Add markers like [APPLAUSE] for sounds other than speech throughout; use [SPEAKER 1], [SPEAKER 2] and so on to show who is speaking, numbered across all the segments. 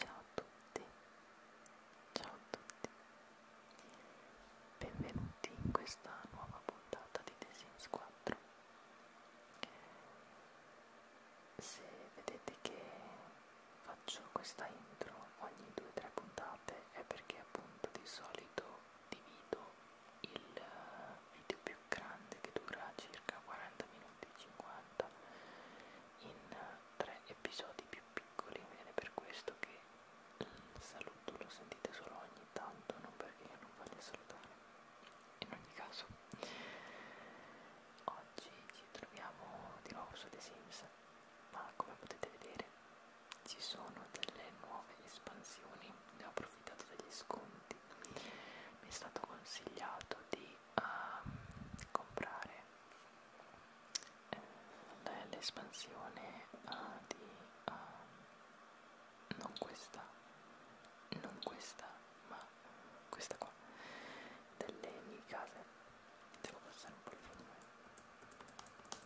[SPEAKER 1] Ciao a tutti, ciao a tutti, benvenuti in questa nuova puntata di The Sims 4. Se vedete che faccio questa intro ogni 2-3 puntate è perché appunto di solito divido il video più grande che dura circa 40 minuti 50 in tre episodi più piccoli ed è per questo che il saluto lo sentite solo ogni tanto, non perché io non voglia salutare. In ogni caso, oggi ci troviamo di nuovo su The Sims, ma come potete vedere ci sono delle nuove espansioni, ne ho approfittato degli sconti. Mi è stato consigliato di a comprare eh, l'espansione uh, di uh, non questa non questa ma questa qua delle mie case devo passare un po' il volume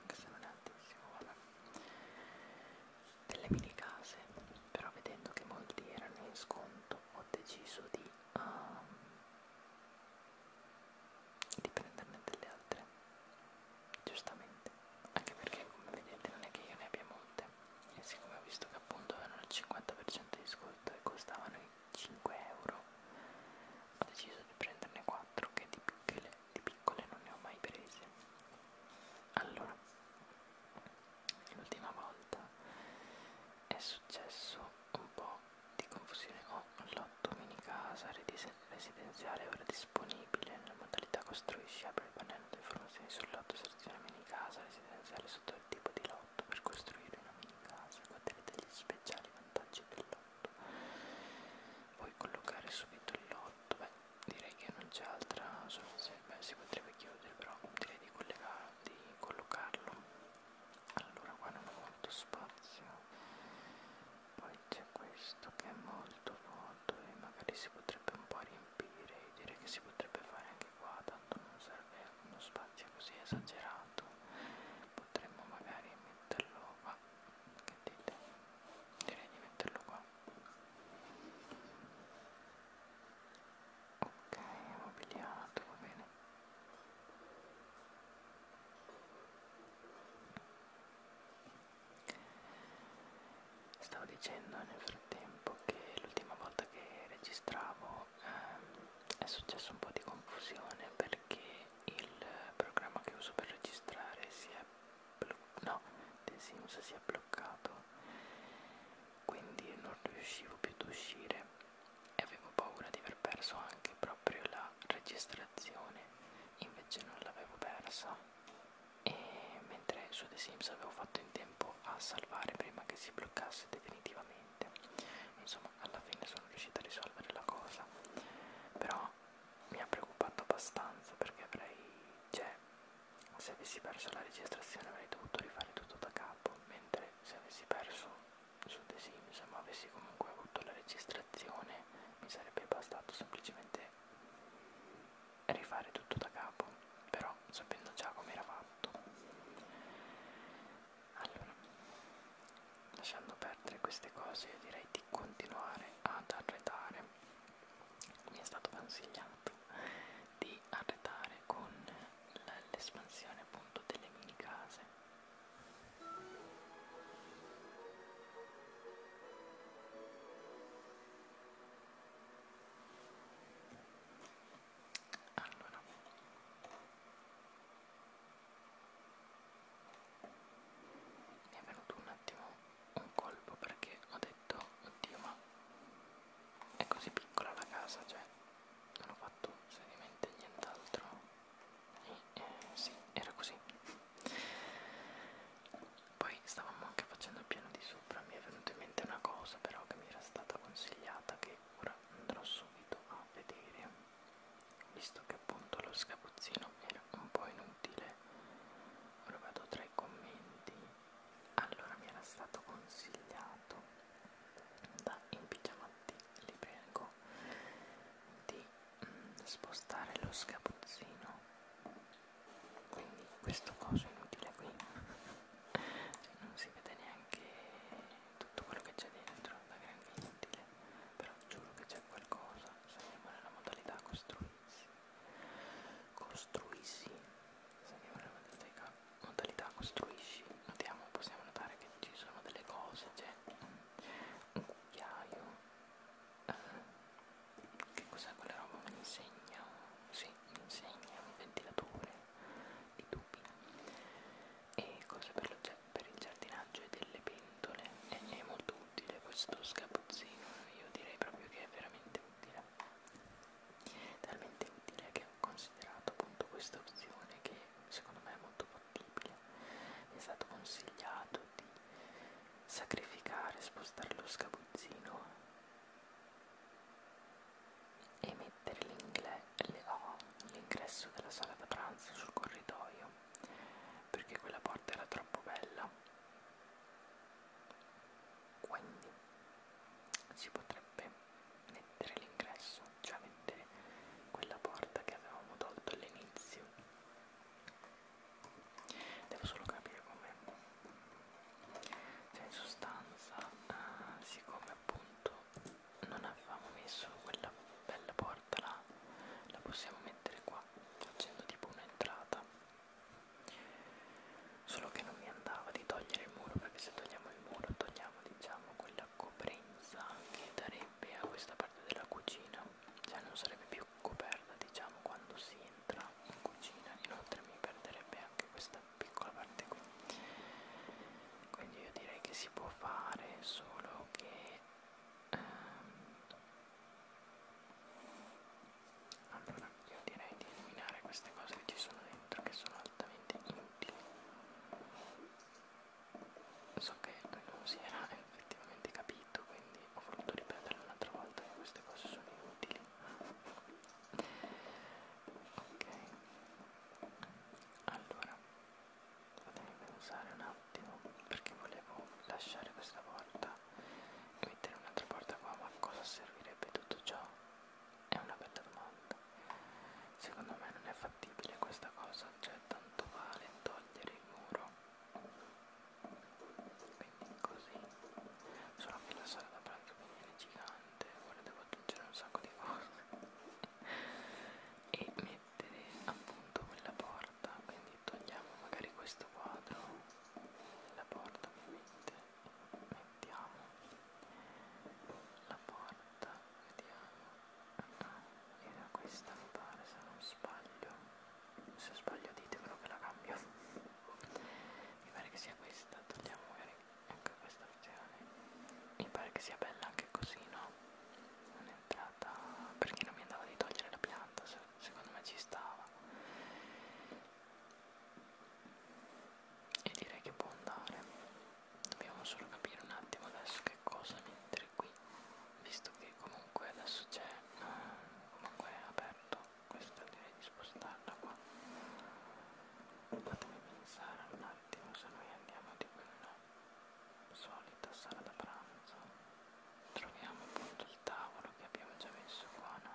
[SPEAKER 1] anche se non è altissimo vabbè delle mini case però vedendo che molti erano in sconto ho deciso di um, di prenderne delle altre giustamente anche perché come vedete non è che io ne abbia molte e siccome ho visto che appunto avevano il 50% di sconto e costavano i 5 euro ho deciso di prenderne 4 che di piccole, di piccole non ne ho mai prese allora l'ultima volta è successo un po' di confusione ho oh, lotto mini casa residenziale ora disponibile nella modalità costruisci apri il pannello di informazioni sul lotto seleziona mini casa residenziale sotto il tipo di lotto per costruire una mini casa guarderete gli speciali vantaggi del lotto puoi collocare subito il lotto beh direi che non c'è altra soluzione beh si potrebbe chiudere però direi di, di collocarlo allora qua non ho molto spazio poi c'è questo che è molto vuoto e magari si potrebbe un po' riempire io direi che si potrebbe fare anche qua tanto non serve uno spazio così esagerato potremmo magari metterlo qua che dite? direi di metterlo qua ok è mobiliato va bene Stavo dicendo nel frattempo che l'ultima volta che registravo ehm, è successo un po' di confusione perché il programma che uso per registrare si è, no, The Sims si è bloccato quindi non riuscivo più ad uscire e avevo paura di aver perso anche proprio la registrazione, invece non l'avevo persa e mentre su The Sims avevo fatto in tempo a salvare prima che si bloccasse definitivamente, insomma alla fine sono riuscita a risolvere la cosa, però mi ha preoccupato abbastanza perché avrei, cioè, se avessi perso la registrazione avrei dovuto rifare tutto da capo, mentre se avessi perso su The Sims ma avessi comunque avuto la registrazione mi sarebbe bastato semplicemente rifare tutto da capo però sapendo già come era fatto allora lasciando perdere queste cose io direi di continuare ad arredare mi è stato consigliato di arredare con l'espansione appunto delle mini case allora mi è venuto un attimo un colpo perché ho detto oddio ma è così piccola la casa cioè non ho fatto seriamente nient'altro e eh, sì, era così poi stavamo anche facendo il piano di sopra mi è venuta in mente una cosa però che mi era stata consigliata che ora andrò subito a vedere visto che appunto lo scapuzzino era un po' inutile ora vado tra i commenti allora mi era stato consigliato da impigiamati li prego di mm, spostare lo sgabuzzino quindi questo coso inutile qui cioè, non si vede neanche tutto quello che c'è dentro da granché inutile però giuro che c'è qualcosa saliamo nella modalità costruissi costruissi saliamo nella modalità modalità costruisci notiamo, possiamo notare che ci sono delle cose, c'è un cucchiaio eh, che cos'è quella roba? Mi insegna, sì, mi insegna un ventilatore di tubi e cose per, lo, per il giardinaggio e delle pentole e è molto utile questo sgabuzzino, io direi proprio che è veramente utile talmente utile che considerato appunto questa opzione che secondo me è molto fattibile mi è stato consigliato di sacrificare, spostare lo sgabuzzino e mettere oh, l'ingresso della sala da pranzo sul corridoio perché quella porta era troppo bella quindi si potrebbe mettere l'ingresso, cioè mettere quella porta che avevamo tolto all'inizio. Devo solo capire come. Cioè in sostanza, eh, siccome appunto non avevamo messo quella bella porta là, la possiamo mettere qua facendo tipo un'entrata. Solo che non mi andava di togliere il muro perché se togliamo il muro togliamo diciamo quella la coprenza che darebbe a questa parte della cucina cioè non sarebbe più coperta diciamo quando si entra in cucina inoltre mi perderebbe anche questa piccola parte qui quindi io direi che si può fare solo che ehm, allora io direi di eliminare queste cose che ci sono dentro che sono altamente inutili so che non si era effettivamente capito quindi ho voluto ripetere un'altra volta che queste cose sono inutili ok allora fatemi pensare un attimo perché volevo lasciare questa porta e mettere un'altra porta qua ma a cosa servirebbe tutto ciò è una bella domanda. Secondo me non è fattibile questa cosa, cioè tanto vale togliere il muro. Quindi così. Solo che la sala da pranzo è gigante, ora devo aggiungere un sacco di cose. e mettere appunto quella porta, quindi togliamo magari questo quadro, la porta ovviamente, mettiamo la porta, vediamo era questa mi pare se non sbaglio se sbaglio ditemelo che la cambio mi pare che sia questa togliamo magari anche questa opzione mi pare che sia bella anche così no un'entrata perché non mi andava di togliere la pianta se, secondo me ci stava e direi che può andare dobbiamo solo capire un attimo adesso che cosa mettere qui visto che comunque adesso c'è eh, comunque è aperto questo direi di spostarla qua fatemi pensare un attimo se noi andiamo di quella solita sala da pranzo troviamo appunto il tavolo che abbiamo già messo qua no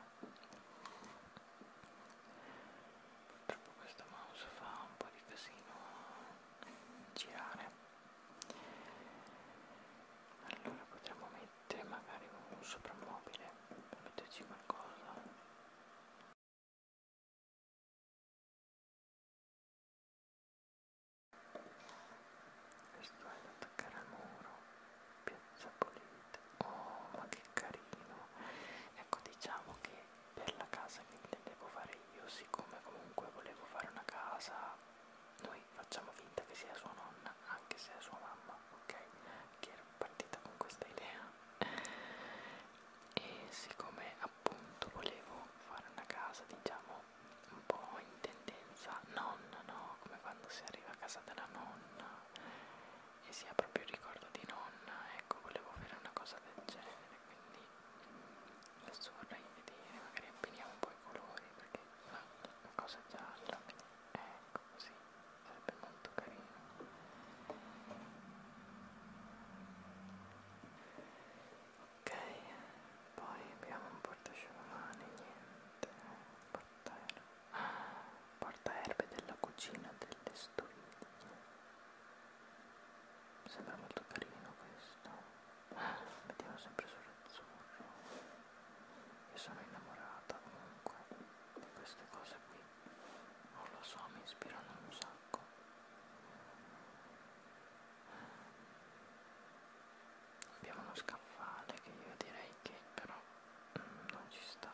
[SPEAKER 1] purtroppo questo mouse fa un po' di casino a girare allora potremmo mettere magari un soprammobile per metterci qualcosa questo è da attaccare al muro piazza pulita oh ma che carino ecco diciamo che per la casa che intendevo fare io, siccome comunque volevo fare una casa, noi facciamo finta che sia sua nonna, anche se è sua mamma, ok? Che era partita con questa idea. E siccome appunto volevo fare una casa, diciamo, un po' in tendenza nonna, no? Come quando si arriva a casa della nonna e si ha proprio il ricordo di nonna, ecco, volevo fare una cosa del genere quindi l'azzurra in vedere, magari abbiniamo un po' i colori perché una, una cosa gialla, ecco così, sarebbe molto carino. Ok, poi abbiamo un portasciamani, niente, portaerbe, ah, portaerbe della cucina delle stoviglie mi sembra molto carino questo. Mettiamo sempre sull'azzurro. Io sono innamorata comunque di queste cose qui. Non lo so, mi ispirano un sacco. Abbiamo uno scaffale che io direi che però mm, non ci sta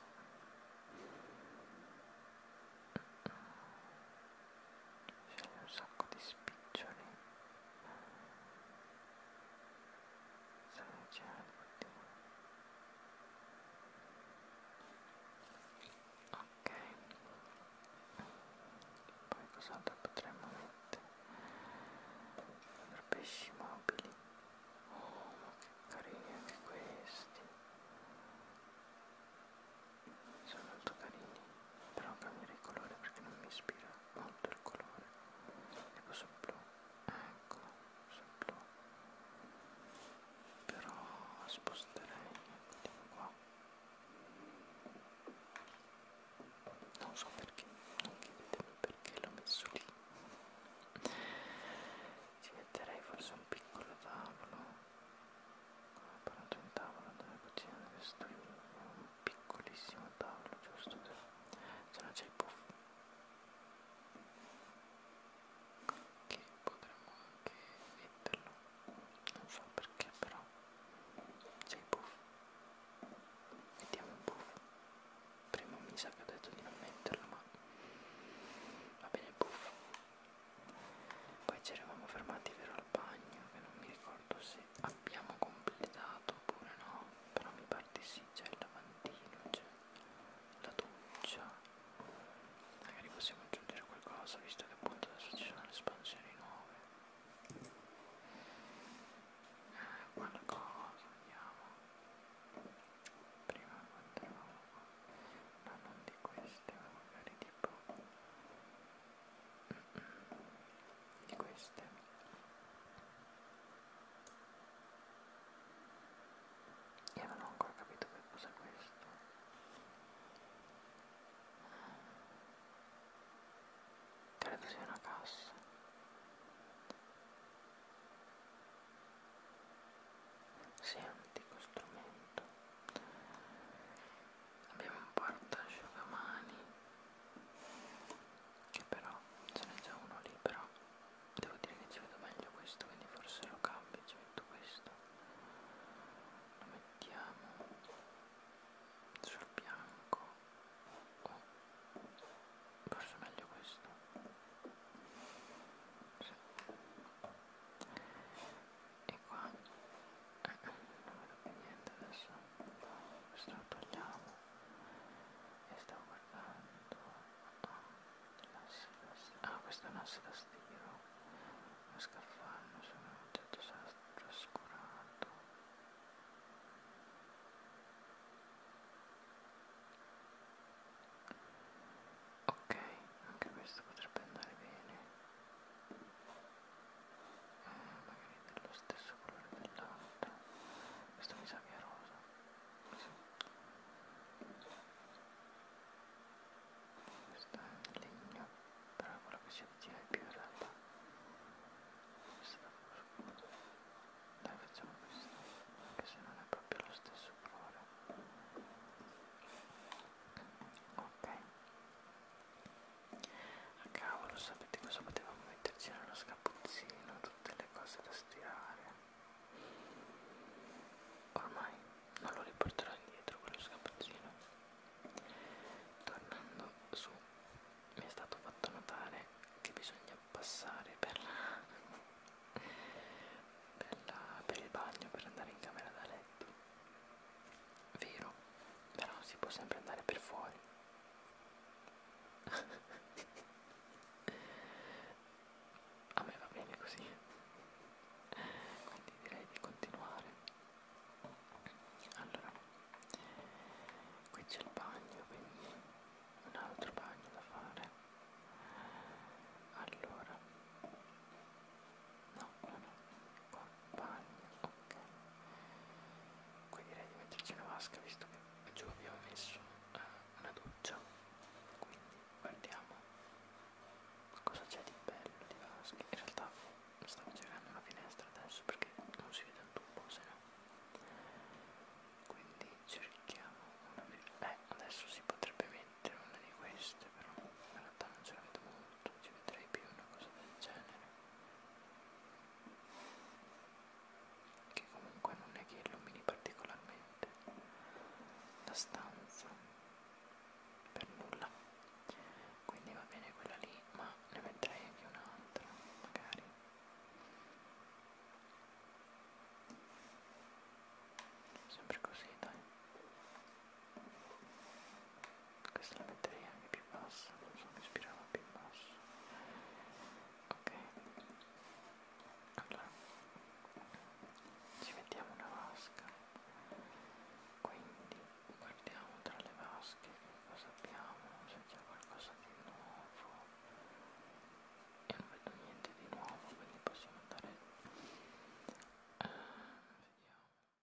[SPEAKER 1] c'è un sacco di spiccioli sono certi ok poi cos'altro potremmo mettere per pesci mobili oh ma che carini anche questi sono molto carini però cambierei colore perché non mi ispira molto il colore tipo sul blu ecco sul blu però sposterei ecco tipo qua non so perché non chiedetemi perché l'ho messo lì ci metterei forse un piccolo tavolo ho parlato di tavolo nella cucina dove sto io un piccolissimo tavolo giusto se no c'è il puff che potremmo anche metterlo non so perché però c'è il puff mettiamo il puff prima mi sa che ho detto di non metterlo ma va bene il puff poi ci eravamo fermati vero al bagno, che non mi ricordo se abbiamo completato oppure no, però mi pare di sì, c'è il lavandino, c'è la doccia. Magari possiamo aggiungere qualcosa, visto che appunto adesso ci sono le espansioni nuove. Eh, qualcosa, vediamo. Prima quando eravamo... No, non di queste, ma magari tipo di queste io non ho ancora capito che cosa è questo credo sia una cassa senti questo strumento abbiamo un portasciugamani che però ce n'è già uno lì però devo dire che ci vedo meglio questo quindi forse lo cambio ci metto questo lo mettiamo sul bianco oh, forse meglio questo sì e qua non vedo più niente adesso questo lo togliamo e stavo guardando ah questo è un asse da stiro lo scaffale sono un oggetto sarà trascurato ok anche questo potrebbe andare bene magari dello stesso colore dell'altro questo mi sa che è rosa sì. questo è legno però è quello che si avvicina più in realtà questo è scuro dai facciamo questo anche se non è proprio lo stesso colore ok a ah, cavolo sapete cosa potevamo metterci nello scapuzzino tutte le cose da stirare ormai non lo riporterò indietro quello scapuzzino tornando su mi è stato fatto notare che bisogna passare per la [LAUGHS] per, la, per il bagno per andare in camera da letto Vero, però si può sempre andare per fuori. A me va bene così. Quindi direi di continuare. Allora, qui c'è il bagno, quindi un altro bagno da fare. Allora, No, uno compagno, ok. Qui direi di metterci una vasca visto che giù abbiamo messo eh, una doccia. Quindi guardiamo cosa c'è di bello di vasca. In realtà stavo girando una finestra adesso perché non si vede un tubo, se no. Quindi cerchiamo una... Eh, adesso si potrebbe mettere una di queste, però in realtà non ce la vedo molto non ci vedrei più una cosa del genere che comunque non è che illumini particolarmente la stanza per nulla quindi va bene quella lì ma ne metterei anche un'altra magari sempre così dai questa la metterei anche più bassa non so mi ispirava più basso ok allora ci mettiamo una vasca quindi guardiamo tra le vasche che cosa abbiamo se c'è qualcosa di nuovo e non vedo niente di nuovo quindi possiamo andare uh, vediamo